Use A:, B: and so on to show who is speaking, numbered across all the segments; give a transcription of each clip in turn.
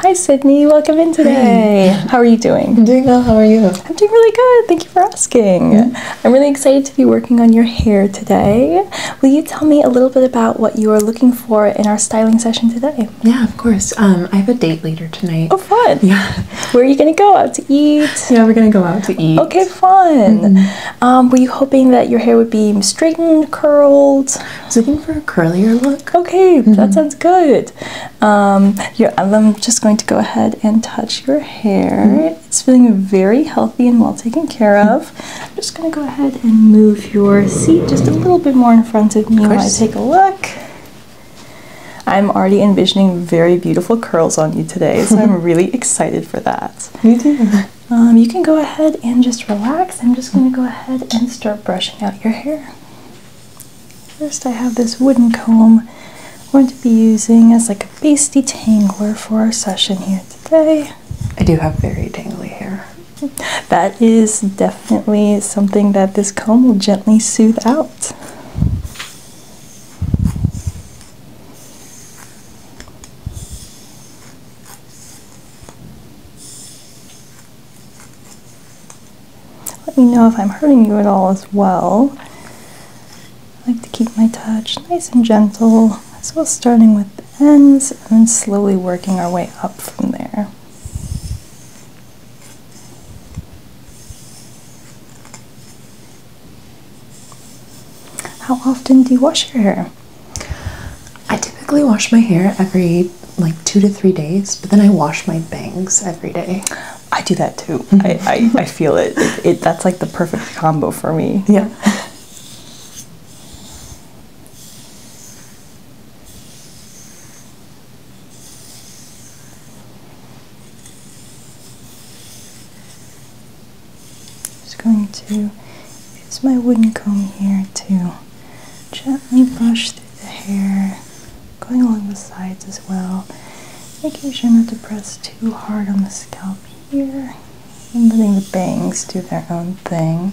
A: Hi, Sydney. Welcome in today. How are you doing? I'm doing well. How are you? I'm doing really good. Thank you for asking. Mm-hmm. I'm really excited to be working on your hair today. Will you tell me a little bit about what you are looking for in our styling session today? Yeah, of course. Um, I have a date later tonight. Oh, fun. Yeah. Where are you going to go? Out to eat? Yeah, we're going to go out to eat. Okay, fun. Mm-hmm. Um, were you hoping that your hair would be straightened, curled? I was looking for a curlier look. Okay, that mm-hmm. sounds good. Um, I'm just going to go ahead and touch your hair. Mm-hmm. It's feeling very healthy and well taken care of. I'm just going to go ahead and move your seat just a little bit more in front of me of while I take a look. I'm already envisioning very beautiful curls on you today, so I'm really excited for that. Me too. Um, you can go ahead and just relax. I'm just going to go ahead and start brushing out your hair. First, I have this wooden comb we're going to be using as like a base detangler for our session here today. I do have very tangly hair. That is definitely something that this comb will gently soothe out. Let me know if I'm hurting you at all as well. I like to keep my touch nice and gentle, as well starting with the ends and then slowly working our way up from there. How often do you wash your hair? I typically wash my hair every like two to three days, but then I wash my bangs every day. I do that too. Mm-hmm. I, I, feel It, it. That's like the perfect combo for me. Yeah just going to use my wooden comb here to gently brush through the hair, going along the sides as well, making sure not to press too hard on the scalp here, and letting the bangs do their own thing.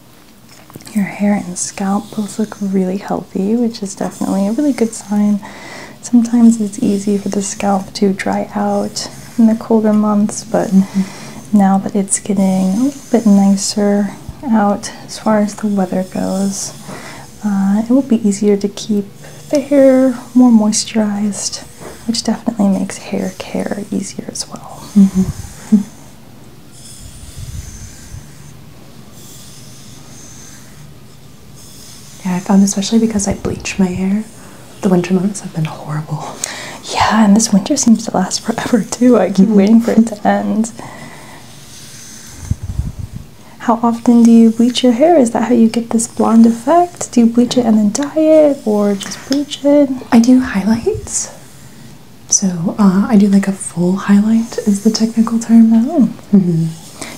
A: Your hair and scalp both look really healthy, which is definitely a really good sign. Sometimes it's easy for the scalp to dry out in the colder months, but mm-hmm. now that it's getting a little bit nicer out as far as the weather goes, uh, it will be easier to keep the hair more moisturized, which definitely makes hair care easier as well. Mm-hmm. Yeah, I found especially because I bleach my hair, the winter months have been horrible. Yeah, and this winter seems to last forever too. I keep waiting for it to mm-hmm. end. How often do you bleach your hair? Is that how you get this blonde effect? Do you bleach it and then dye it or just bleach it? I do highlights. So uh, I do like a full highlight is the technical term. Oh.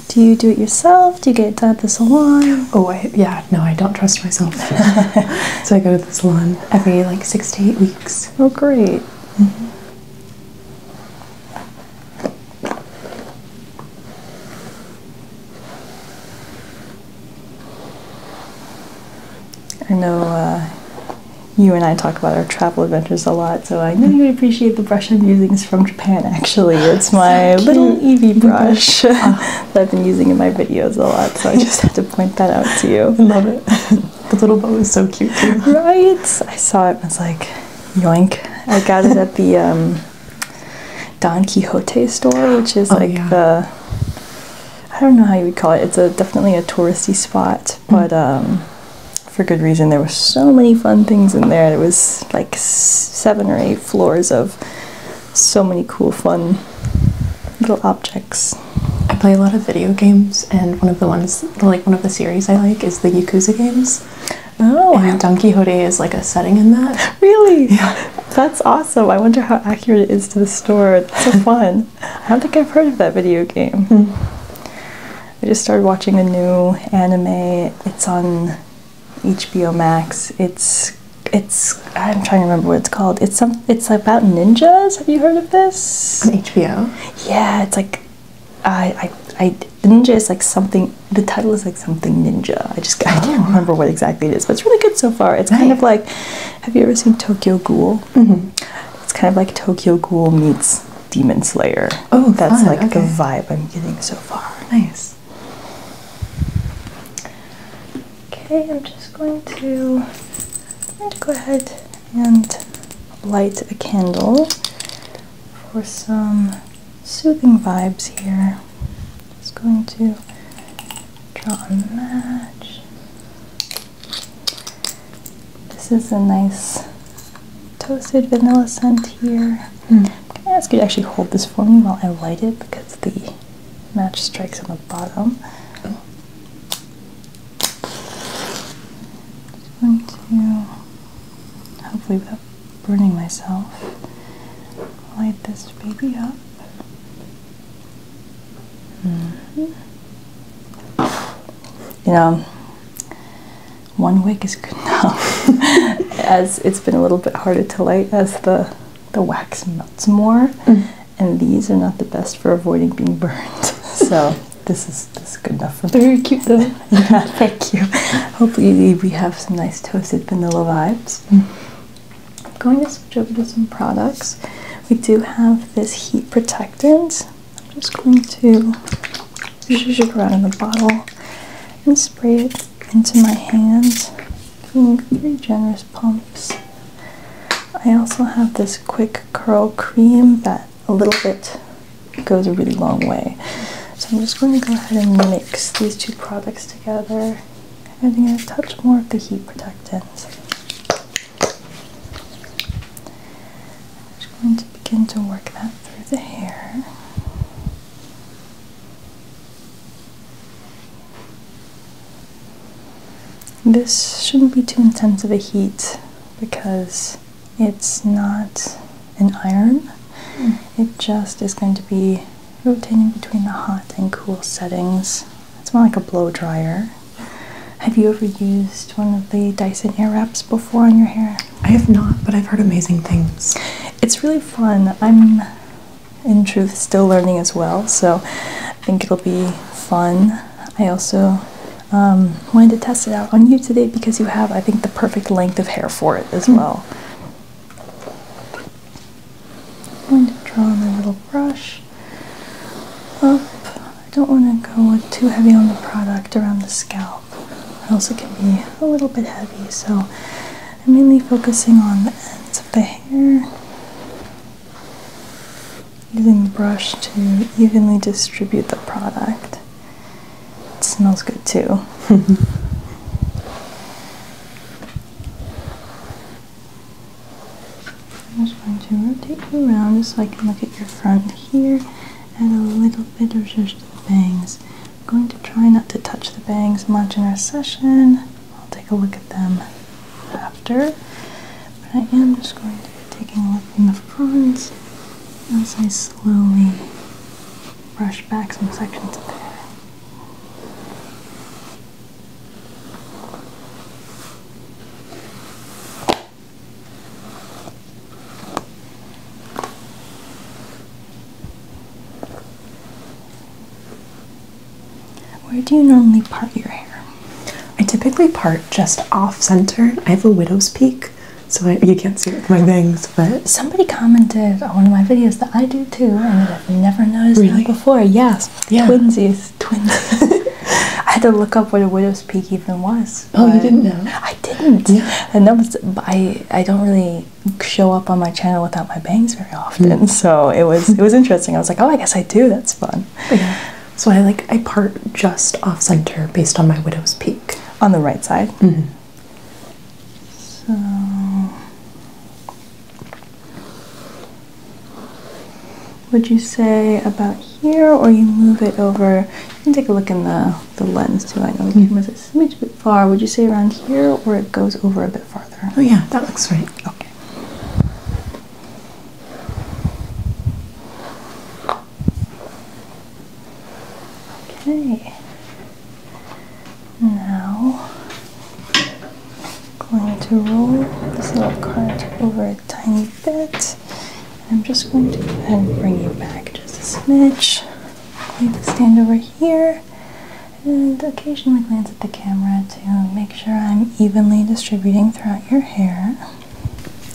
A: Do you do it yourself? Do you get it at the salon? Oh, yeah. No, I don't trust myself. so I go to the salon every like six to eight weeks. Oh, great. Mm-hmm. I know uh, you and I talk about our travel adventures a lot, so I know you would appreciate the brush I'm using is from Japan actually. It's my little Eevee brush ah. that I've been using in my videos a lot, so I just had to point that out to you. I love it. the little bow is so cute too. Right? I saw it and was like, yoink. I got it at the um, Don Quixote store, which is oh, like the I don't know how you would call it. It's a definitely a touristy spot, mm. but um, for good reason. There were so many fun things in there. It was like seven or eight floors of so many cool, fun little objects. I play a lot of video games, and one of the ones, like one of the series I like, is the Yakuza games. Oh, and Don Quixote is like a setting in that. Really? Yeah. That's awesome. I wonder how accurate it is to the story. so fun. I don't think I've heard of that video game. Hmm. I just started watching a new anime. It's on HBO Max. It's it's I'm trying to remember what it's called. It's some it's about ninjas. Have you heard of this? HBO. Yeah, it's like I I I ninja is like something. The title is like something ninja. I just I can't oh. remember what exactly it is, but it's really good so far. It's kind of like Have you ever seen Tokyo Ghoul? Mm-hmm. It's kind of like Tokyo Ghoul meets Demon Slayer. Oh, that's like the vibe I'm getting so far. Nice. Okay, I'm just going to go ahead and light a candle for some soothing vibes here. Just going to draw a match. This is a nice toasted vanilla scent here. I'm hmm. gonna ask you to actually hold this for me while I light it because the match strikes on the bottom. Oh. Just going to hopefully without burning myself light this baby up. Hmm. You know, one wick is good enough as it's been a little bit harder to light as the the wax melts more mm-hmm. and these are not the best for avoiding being burned so this is this is good enough for me. very cute though yeah thank you hopefully we have some nice toasted vanilla vibes mm. i'm going to switch over to some products we do have this heat protectant i'm just going to usually should run in the bottle and spray it into my hands. Three generous pumps. I also have this quick curl cream that a little bit goes a really long way. So I'm just going to go ahead and mix these two products together, I adding a touch more of the heat protectant. I'm just going to begin to work that through the hair. This shouldn't be too intense of a heat because it's not an iron. Hmm. It just is going to be rotating between the hot and cool settings. It's more like a blow dryer. Have you ever used one of the Dyson hair wraps before on your hair? I have not, but I've heard amazing things. It's really fun. I'm, in truth, still learning as well, so I think it'll be fun. I also um, wanted to test it out on you today because you have, I think, the perfect length of hair for it as hmm. well. I'm going to draw my little brush up. I don't want to go too heavy on the product around the scalp help. it can be a little bit heavy, so I'm mainly focusing on the ends of the hair. Using the brush to evenly distribute the product. It smells good too. I'm just going to rotate you around just so I can look at your front here and a little bit of just bangs. I'm going to try not to touch the bangs much in our session. I'll take a look at them after. But I am just going to be taking a look in the front as I slowly brush back some sections of hair. Where do you normally part your hair? I typically part just off center. I have a widow's peak, so you can't see it with my bangs. But somebody commented on one of my videos that I do too, and I've never noticed really? that before. Yes, yeah. twinsies, twinsies. I had to look up what a widow's peak even was. Oh, you didn't know? I didn't. Yeah. And that was I. I don't really show up on my channel without my bangs very often, hmm. so it was it was interesting. I was like, oh, I guess I do. That's fun. Yeah. So I like I part just off center based on my widow's peak on the right side. Mm-hmm. So. Would you say about here, or you move it over? You can take a look in the the lens too. I know the hmm. camera's this is a bit far. Would you say around here or it goes over a bit farther? Oh, yeah, that looks right. Okay. Okay. Now, going to roll this little cart over a tiny bit. I'm just going to go ahead and bring you back just a smidge. I'm going to stand over here and occasionally glance at the camera to make sure I'm evenly distributing throughout your hair.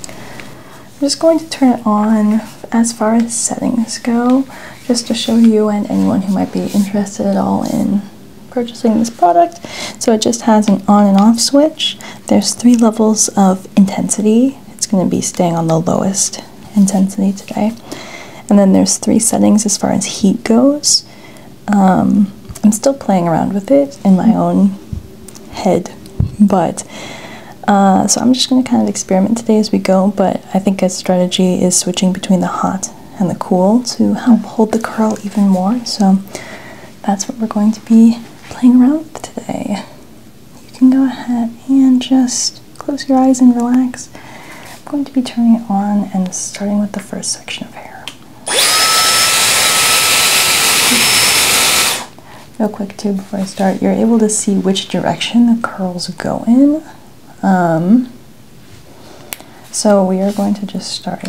A: I'm just going to turn it on as far as settings go, just to show you and anyone who might be interested at all in purchasing this product. So it just has an on and off switch. There's three levels of intensity. It's going to be staying on the lowest intensity today. And then there's three settings as far as heat goes. Um, I'm still playing around with it in my own head, but uh, so I'm just going to kind of experiment today as we go. But I think a strategy is switching between the hot and the cool to help hold the curl even more. So that's what we're going to be playing around with today you can go ahead and just close your eyes and relax. I'm going to be turning it on and starting with the first section of hair. Real quick, too, before I start, you're able to see which direction the curls go in. Um, so we are going to just start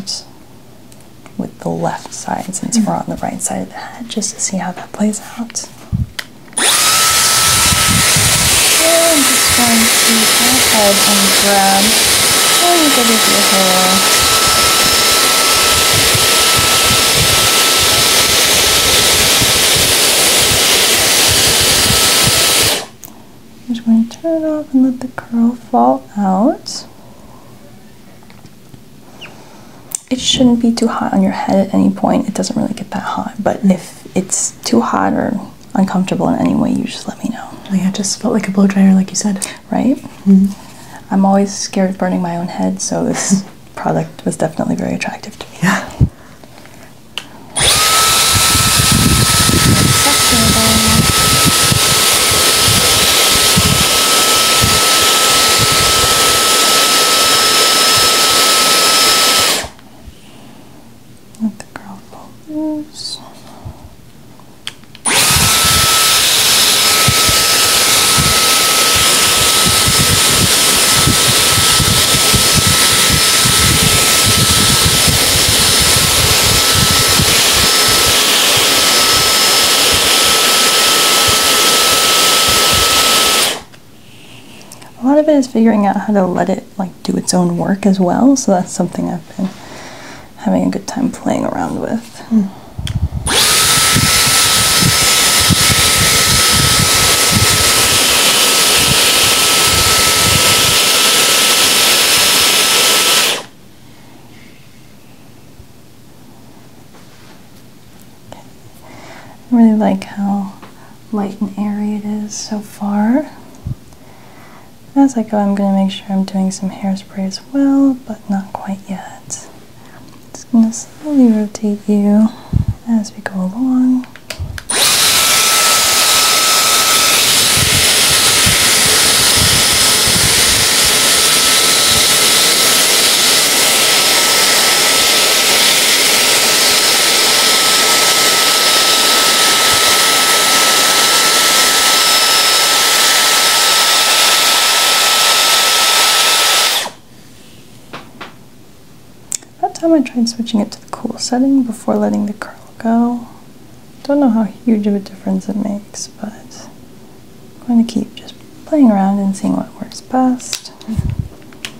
A: with the left side since we're on the right side of the head just to see how that plays out. I'm just going to go ahead and grab a little bit of hair. just going to turn it off and let the curl fall out. It shouldn't be too hot on your head at any point. It doesn't really get that hot, but if it's too hot or uncomfortable in any way, you just let me know. Oh, yeah, it just felt like a blow dryer, like you said. Right? hmm I'm always scared of burning my own head, so this product was definitely very attractive to me. Yeah. Let the girl blow loose. A lot of it is figuring out how to let it like do its own work as well, so that's something I've been having a good time playing around with. I really like how light and airy it is so far. As I go, I'm going to make sure I'm doing some hairspray as well, but not quite yet. It's going to slowly rotate you as we go along. That time I tried switching it to the cool setting before letting the curl go. Don't know how huge of a difference it makes, but I'm going to keep just playing around and seeing what works best.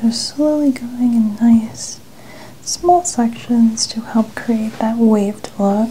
A: Just slowly going in nice small sections to help create that waved look.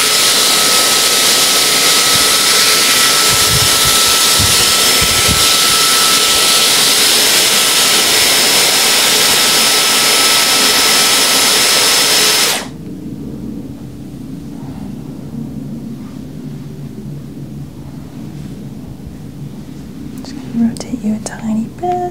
A: Just going to rotate you a tiny bit.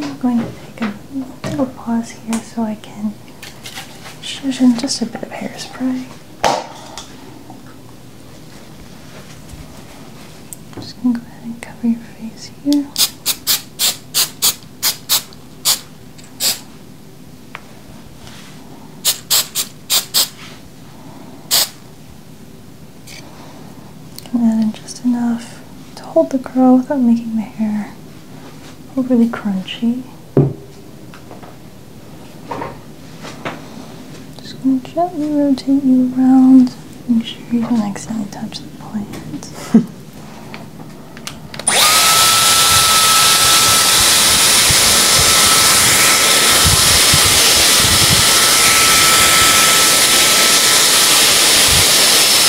A: I'm going to take a little pause here so I can just a bit of hairspray. just going to go ahead and cover your face here. And add in just enough to hold the curl without making the hair overly crunchy. Just going to gently rotate you around. Make sure you don't accidentally touch the plants.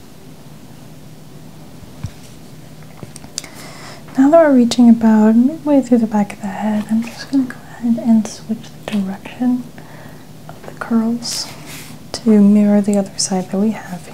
A: Now that we're reaching about midway through the back of the head, I'm just going to go ahead and switch the direction of the curls to mirror the other side that we have here.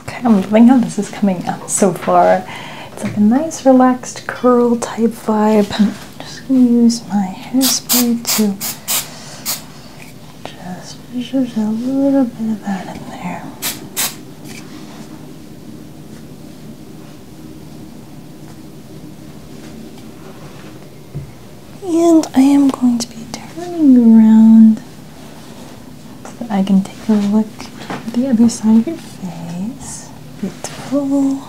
A: Okay, I'm loving how this is coming out so far. It's like a nice relaxed curl type vibe. I'm just gonna use my hairspray to just just a little bit of that in there. And I am going to be turning around so that I can take a look at the other side of your face. Beautiful.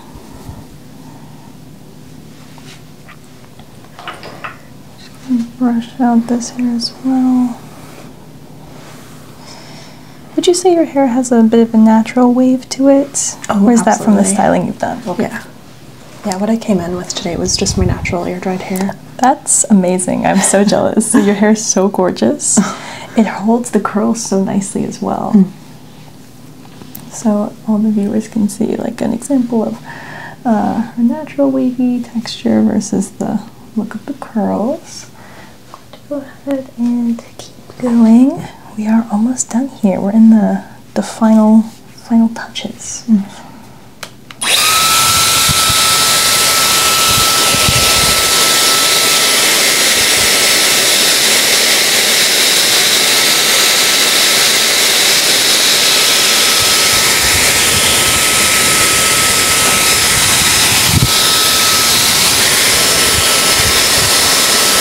A: Just going to brush out this hair as well. Would you say your hair has a bit of a natural wave to it? Oh, or is that from the styling you've done? Yeah. Yeah, what I came in with today was just my natural air dried hair. That's amazing. I'm so jealous. Your hair is so gorgeous. It holds the curls so nicely as well. Mm. So all the viewers can see like an example of uh, her natural wavy texture versus the look of the curls. I'm going to go ahead and keep going. We are almost done here. We're in the the final final touches.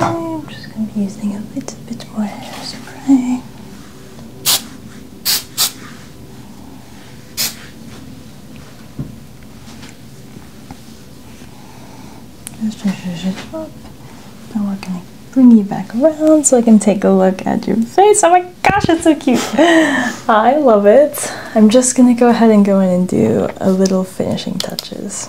A: I'm just going to be using a little bit more hairspray. Just push it up. Now we're gonna bring you back around so I can take a look at your face. Oh my gosh, it's so cute. I love it. I'm just gonna go ahead and go in and do a little finishing touches.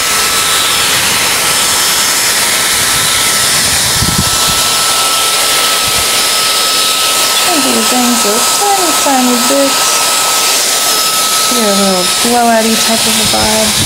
A: things a tiny, tiny bit. Get a little blowout-y type of a vibe.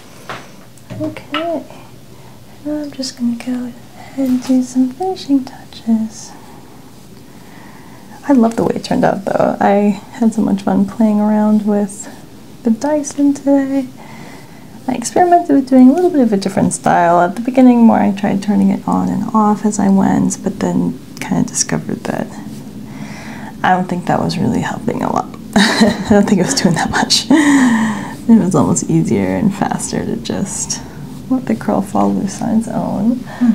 A: Okay, now I'm just going to go ahead and do some finishing touches. I love the way it turned out though. I had so much fun playing around with the Dyson today. I experimented with doing a little bit of a different style. At the beginning more I tried turning it on and off as I went, but then kind of discovered that I don't think that was really helping a lot. I don't think it was doing that much. It was almost easier and faster to just let the curl fall loose on its own. Hmm.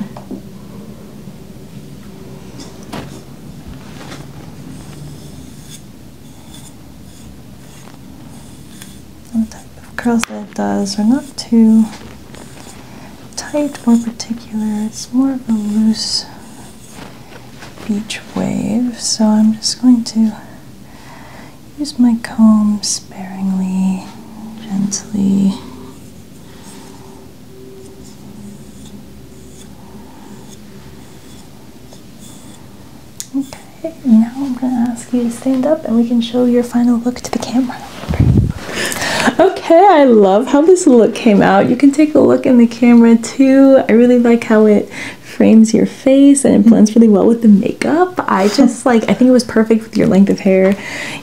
A: What type of curls that it does are not too tight or particular. It's more of a loose beach wave, so I'm just going to use my comb sparingly, gently. Okay, now I'm going to ask you to stand up and we can show your final look to the camera. Okay, I love how this look came out. You can take a look in the camera too. I really like how it frames your face and it mm-hmm. blends really well with the makeup. I just like, I think it was perfect with your length of hair.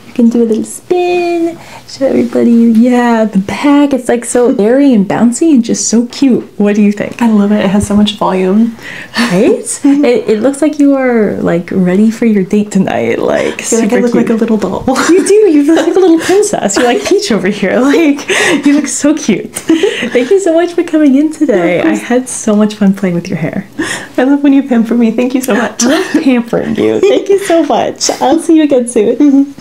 A: You can do a little spin, show everybody, yeah, the back. It's like so mm-hmm. airy and bouncy and just so cute. What do you think? I love it. It has so much volume. Right? Mm-hmm. it, looks like you are like ready for your date tonight. Like, super like I look like a little doll. you do. You look like a little princess. You're like Peach over here. Like, you look so cute. Thank you so much for coming in today. I had so much fun playing with your hair. I love when you pamper me. Thank you so much. I'm pampering you. Thank you so much. I'll see you again soon.